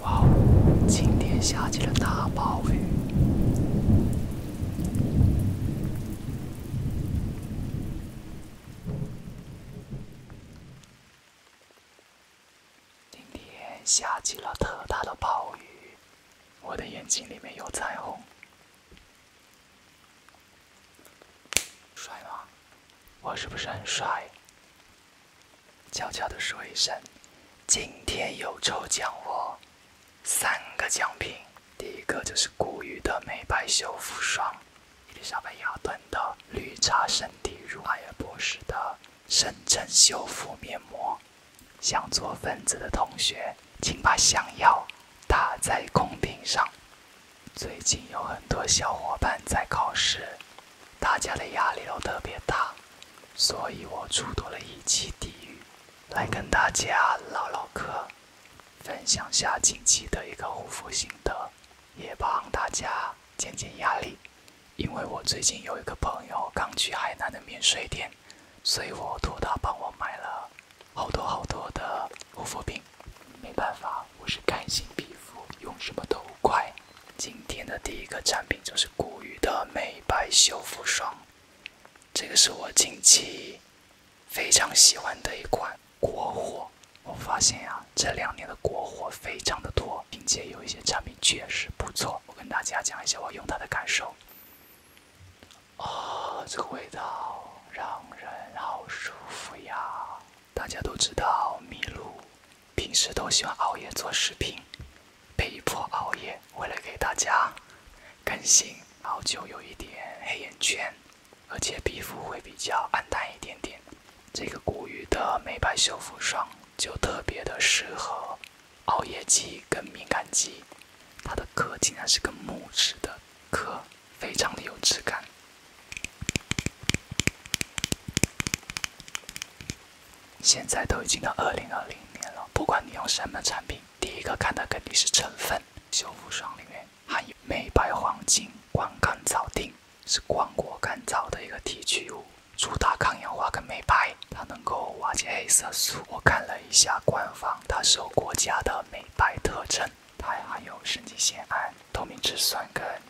哇哦，今天下起了大暴雨。今天下起了特大的暴雨，我的眼睛里面有彩虹。帅吗？我是不是很帅？悄悄地说一声，今天有抽奖哦，三个奖品，第一个就是谷雨的美白修复霜，伊丽莎白雅顿的绿茶身体乳，兰尔博士的深层修复面膜。想做分子的同学，请把想要打在公屏上。最近有很多小伙伴在考试，大家的压力都特别大，所以我出多了一期地狱，来跟大家唠唠嗑，分享下近期的一个护肤心得，也帮大家减减压力。因为我最近有一个朋友刚去海南的免税店，所以我托他帮我买了好多好多的护肤品，没办法。我是干性皮肤，用什么都快。今天的第一个产品就是谷雨的美白修复霜，这个是我近期非常喜欢的一款国货。我发现呀，这两年的国货非常的多，并且有一些产品确实不错。我跟大家讲一下我用它的感受。哦，这个味道让人好舒服呀！大家都知道麋鹿平时都喜欢熬夜做视频，被迫熬夜，为了给大家更新，好久有一点黑眼圈，而且皮肤会比较暗淡一点点。这个谷雨的美白修复霜就特别的适合熬夜肌跟敏感肌，它的壳竟然是个木质的壳，非常的有质感。现在都已经到二零二零年了，不管你用什么产品，第一个看的肯定是成分。修复霜里面含有美白黄金光甘草定，是光果甘草的一个提取物，主打抗氧化跟美白，它能够瓦解黑色素。我看了一下官方，它受国家的美白特征，它还含有神经酰胺、透明质酸跟。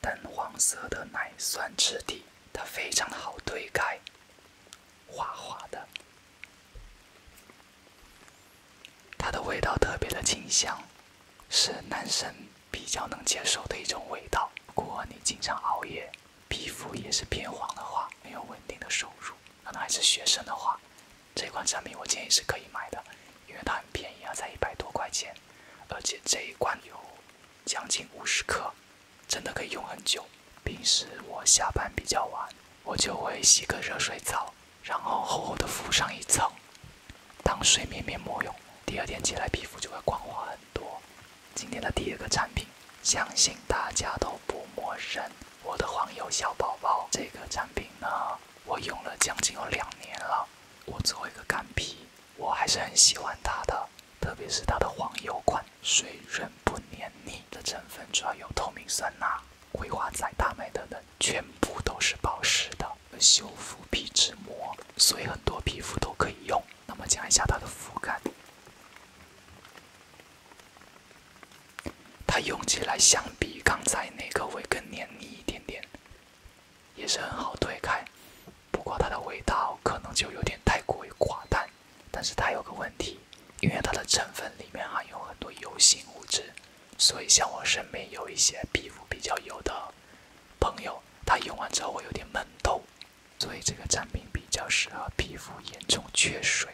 淡黄色的奶酸质地，它非常的好推开，滑滑的。它的味道特别的清香，是男生比较能接受的一种味道。如果你经常熬夜，皮肤也是偏黄的话，没有稳定的收入，可能还是学生的话。这款产品我建议是可以买的，因为它很便宜啊，才一百多块钱，而且这一罐有将近五十克，真的可以用很久。平时我下班比较晚，我就会洗个热水澡，然后厚厚的敷上一层，当睡眠面膜用，第二天起来皮肤就会光滑很多。今天的第二个产品相信大家都不陌生，我的黄油小宝宝这个产品呢。我用了将近有两年了，我作为一个干皮，我还是很喜欢它的，特别是它的黄油款，水润不黏腻的成分主要有透明酸钠、葵花籽大麦等等，全部都是保湿的，修复皮脂膜，所以很多皮肤都可以用。那么讲一下它的肤感。它用起来相比刚才那个会更黏腻一点点，也是很好推开。不过它的味道可能就有点太过于寡淡。但是它有个问题，因为它的成分里面含有很多油性物质，所以像我身边有一些皮肤比较油的朋友，他用完之后会有点闷痘。所以这个产品比较适合皮肤严重缺水、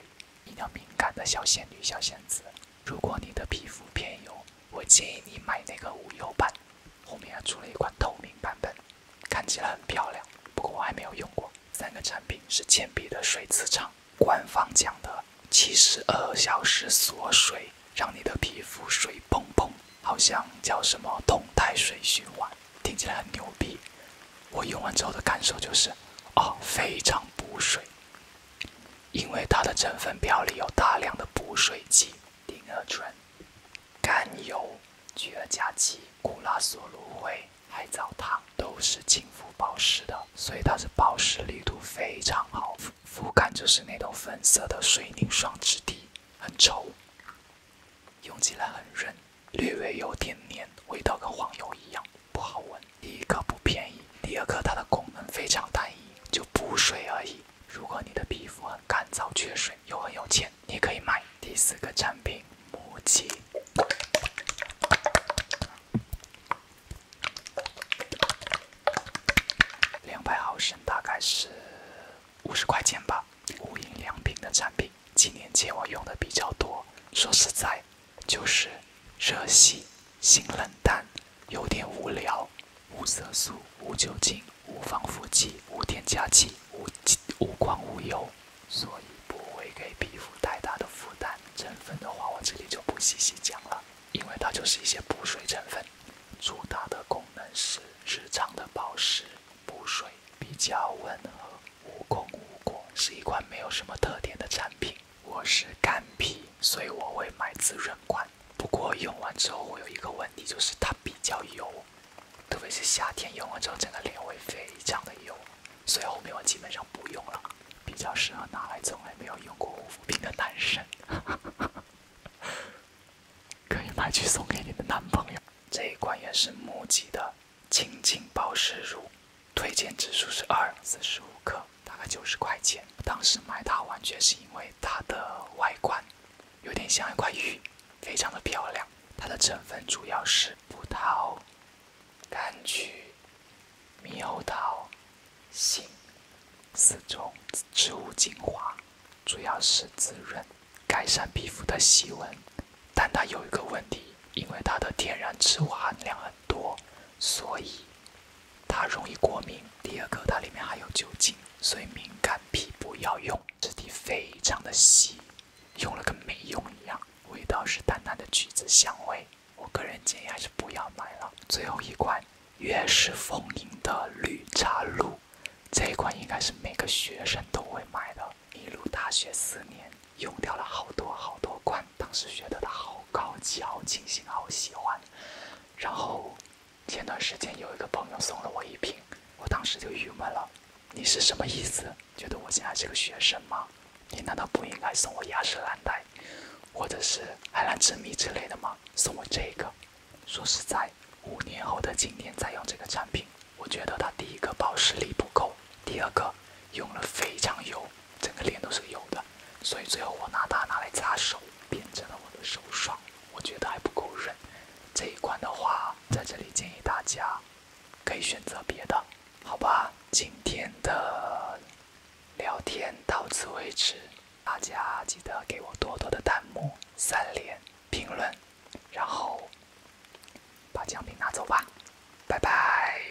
比较敏感的小仙女、小仙子。如果你的皮肤偏油，我建议你买那个无油版，后面还出了一款透明版本，看起来很漂亮，不过我还没有用过。三个产品是倩碧的水磁场，官方讲的七十二小时锁水，让你的皮肤水嘭嘭，好像叫什么动态水循环，听起来很牛逼。我用完之后的感受就是，啊，非常补水。因为它的成分表里有大量的补水剂，丁二醇、甘油、聚二甲基古拉索芦荟、海藻糖都是亲肤保湿的，所以它是保湿力度非常好。肤肤感就是那种粉色的水凝霜质地，很稠，用起来很润，略微有点黏，味道跟黄油一样。不好闻，第一个不便宜，第二个它的功能非常单一，就补水而已。如果你的皮肤很干燥、缺水又很有钱，你可以买。第四个产品，木吉，两百毫升大概是五十块钱吧。无印良品的产品，几年前我用的比较多。说实在，就是热洗，性冷淡，有点无聊，无色素，无酒精，无防腐剂，无添加剂，无无光无油，所以不会给皮肤太大的负担。成分的话，我这里就不细细讲了，因为它就是一些补水成分，主打的功能是日常的保湿、补水，比较温和，无功无过，是一款没有什么特点的产品。我是干皮，所以我会买滋润款。不过用完之后，我有一个问题，就是它比较油，特别是夏天用完之后，整个脸会非常的油，所以后面我基本上不用了。比较适合拿来从来没有用过护肤品的男生，可以买去送给你的男朋友。这一款也是木吉的，轻盈保湿乳。推荐指数是二四十五克，大概九十块钱。当时买它完全是因为它的外观有点像一块玉，非常的漂亮。它的成分主要是葡萄、柑橘、猕猴桃、杏四种植物精华，主要是滋润、改善皮肤的细纹。但它有一个问题，因为它的天然植物含量很多，所以。它容易过敏，第二个它里面还有酒精，所以敏感皮不要用。质地非常的稀，用了跟没用一样。味道是淡淡的橘子香味，我个人建议还是不要买了。最后一款，悦诗风吟的绿茶露，这一款应该是每个学生都会买的，一路大学四年用掉了好多好多罐。当时觉得它好高级、好清新、好喜欢。然后，前段时间有一个朋友送了我一瓶，我当时就郁闷了。你是什么意思？觉得我现在是个学生吗？你难道不应该送我雅诗兰黛，或者是海蓝之谜之类的吗？送我这个，说实在，五年后的今天再用这个产品，我觉得它第一个保湿力不够，第二个用了非常油。整个脸都是油的，所以最后我拿它拿来擦手，变成了我的手霜。我觉得还不够润。这一款的话，在这里建议大家可以选择别的，好吧？今天的聊天到此为止，大家记得给我多多的弹幕、三连、评论，然后把奖品拿走吧，拜拜。